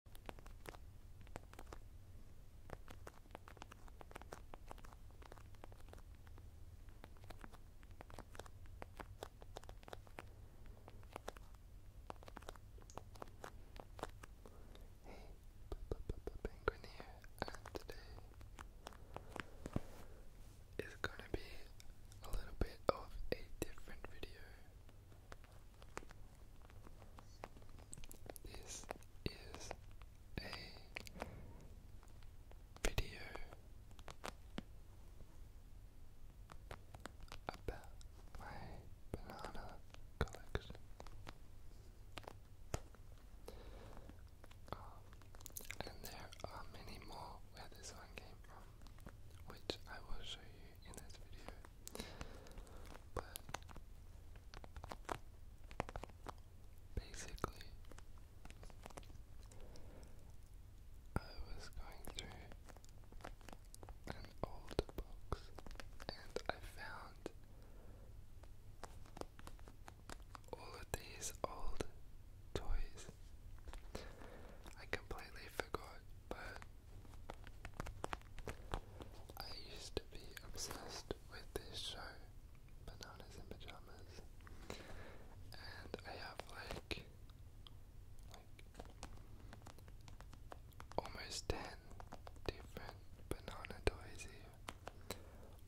Penguineer, and today is going to be a little bit of a different video. This is a video about my banana collection. Um, and there are many more where this one came from, which I will show you in this video. But basically, I was going through an old box and I found all of these old toys. I completely forgot, but I used to be obsessed with this show, Bananas in Pajamas, and I have like, like almost ten different banana toys here,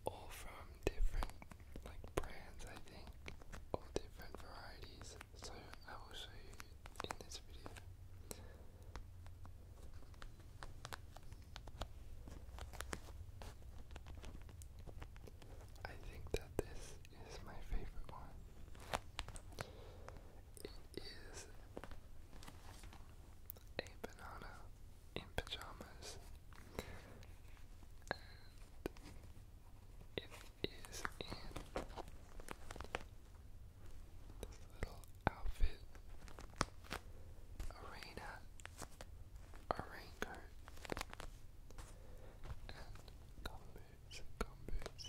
all from different like brands, I think, all different varieties. So I will show you in this video. I think that this is my favorite one. It is a banana in pajamas it is in little outfit. A raincoat, and gum boots, gum boots.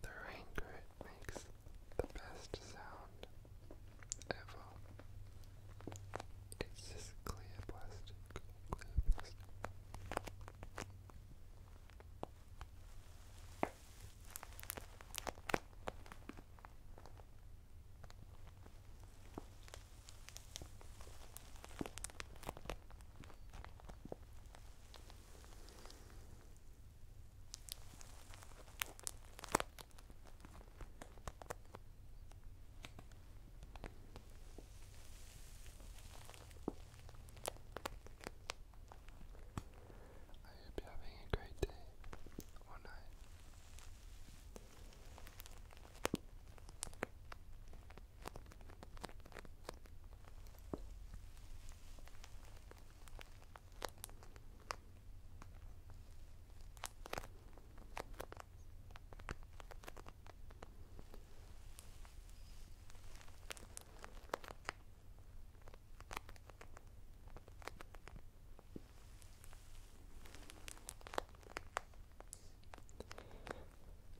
The rain makes the best sound ever. It's just clear plastic. I hope you having a great day or night.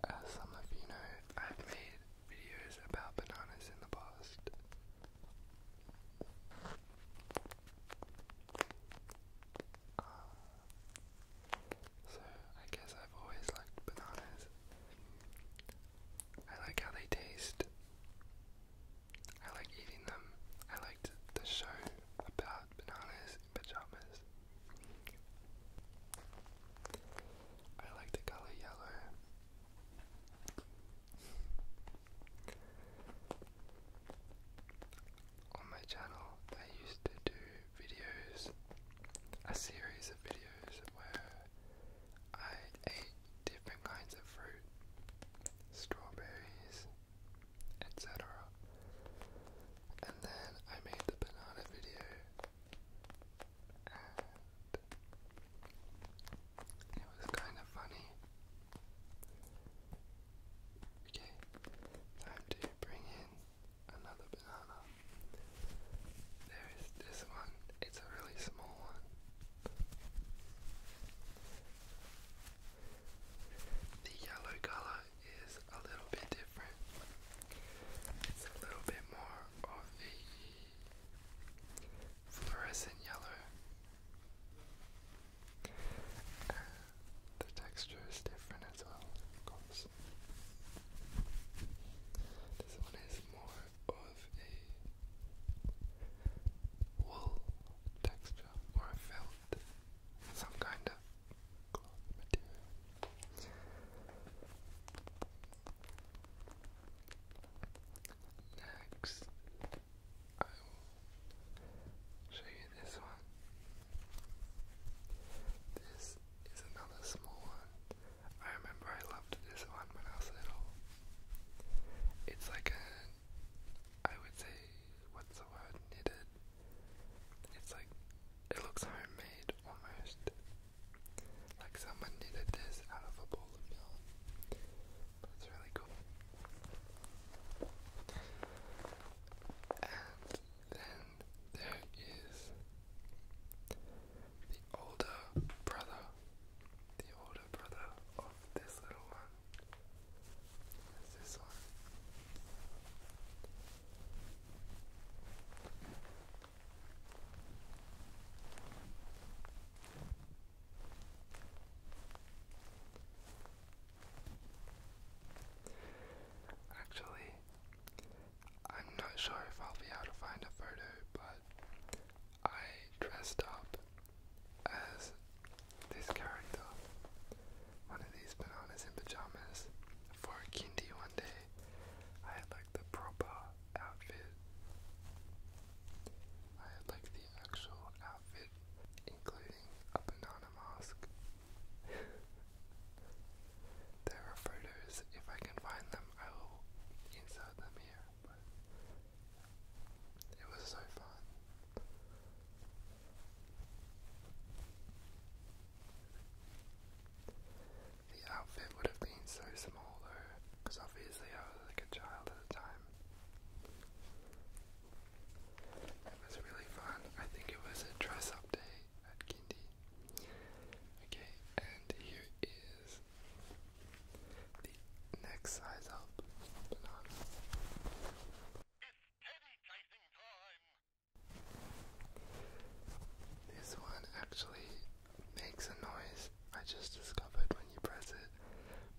As some of you know, I've made videos about bananas in the past. Ah. so I guess I've always liked bananas. I like how they taste. I like eating them. I liked the show about bananas in pajamas. I like the color yellow. On my channel, I used to do videos, a series of videos where I ate different kinds of fruit, strawberries, etc. And then I made the banana video and it was kind of funny. Okay, time to bring in another banana. There is this one, it's a really small one. The yellow color is a little bit different. It's a little bit more of a fluorescent yellow. the texture is different as well, of course. This one is more of a wool texture or a felt, some kind of cloth material. Next, I will show you this one. This is another small one. I remember I loved this one when I was little. It's like a, I would say, what's the word? Knitted. It's like, it looks homemade almost. Like someone knitted this out of a bowl of yarn. But really cool. And then there is the older brother. The older brother of this little one. There's this one. Actually, I'm not sure if I'll be able to find a photo, but I dressed up as this character, one of these bananas in pajamas, for a kindy one day. I had like the proper outfit. I had like the actual outfit, including a banana mask. there are photos, if I can find them, I will insert them here. But it was so fun. The outfit would have been so small though, because obviously I was like a child at the time. It was really fun. I think it was a dress up day at Kindy. Okay, and here is the next size up this one actually makes a noise I just discovered when you press it,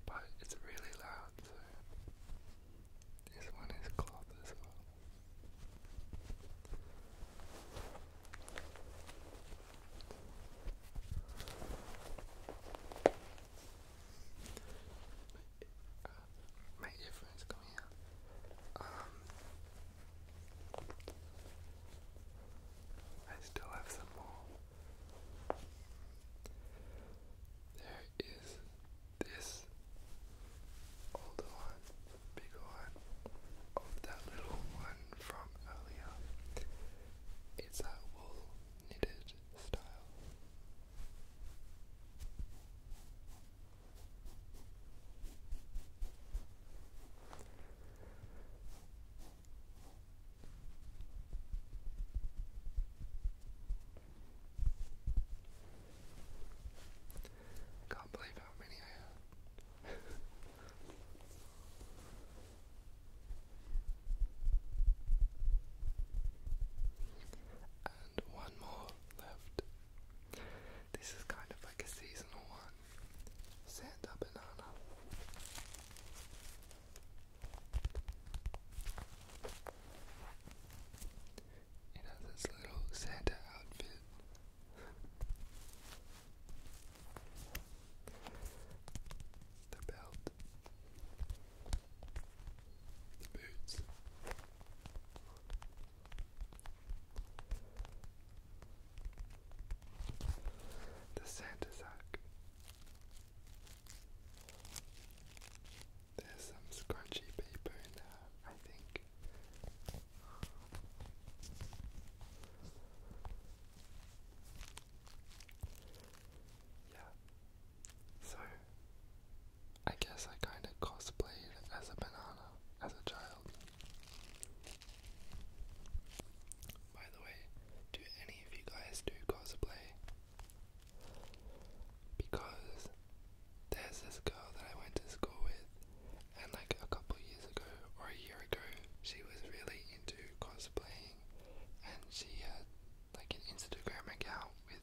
but it's really loud, so this one is cloth as well make a difference coming here. Um, I still have some more. There is this older one, bigger one, of that little one from earlier. It's that wool knitted style. Can't believe how many I have. and one more left. This is kind of like a seasonal one. Santa banana. It has this little Santa outfit. the belt. The boots. The Santa sack. There's some scrunchy paper in I think. Yeah. So I guess I kinda cosplayed as a banana as a child. By the way, do any of you guys do cosplay? Because there's this girl that I went to school with, and like a couple years ago or a year ago, she was really into cosplay, and she had like an Instagram account with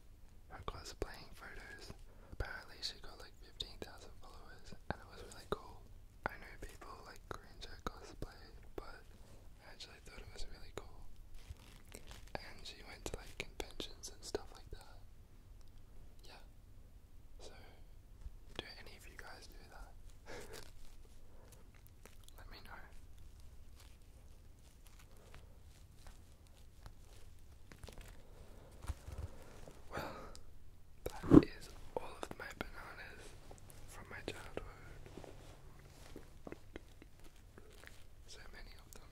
her cosplaying photos. Apparently, she got like 15,000 followers, and it was really cool. I know people like cringe at cosplay, but I actually thought it was really cool. And she went to like conventions and stuff like that. Yeah. So, do any of you guys do that? Let me know. Well, that is all of my bananas from my childhood. So many of them.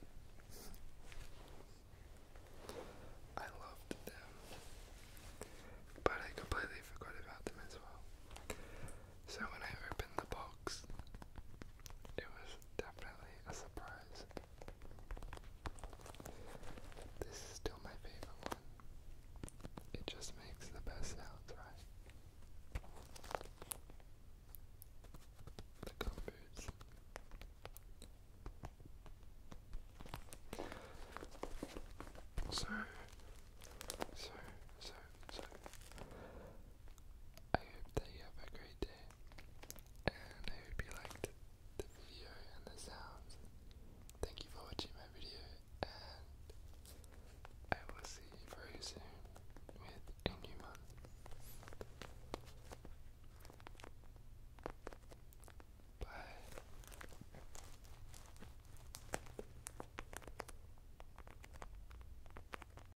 I loved them, but I completely forgot about them as well. So when I opened the box, it was definitely a surprise. This is still my favorite one. It just makes the best sounds, right? The Gumboots. So, so, so, so, I hope that you have a great day, and I hope you liked the video and the sounds. Thank you for watching my video, and I will see you very soon with a new month. Bye.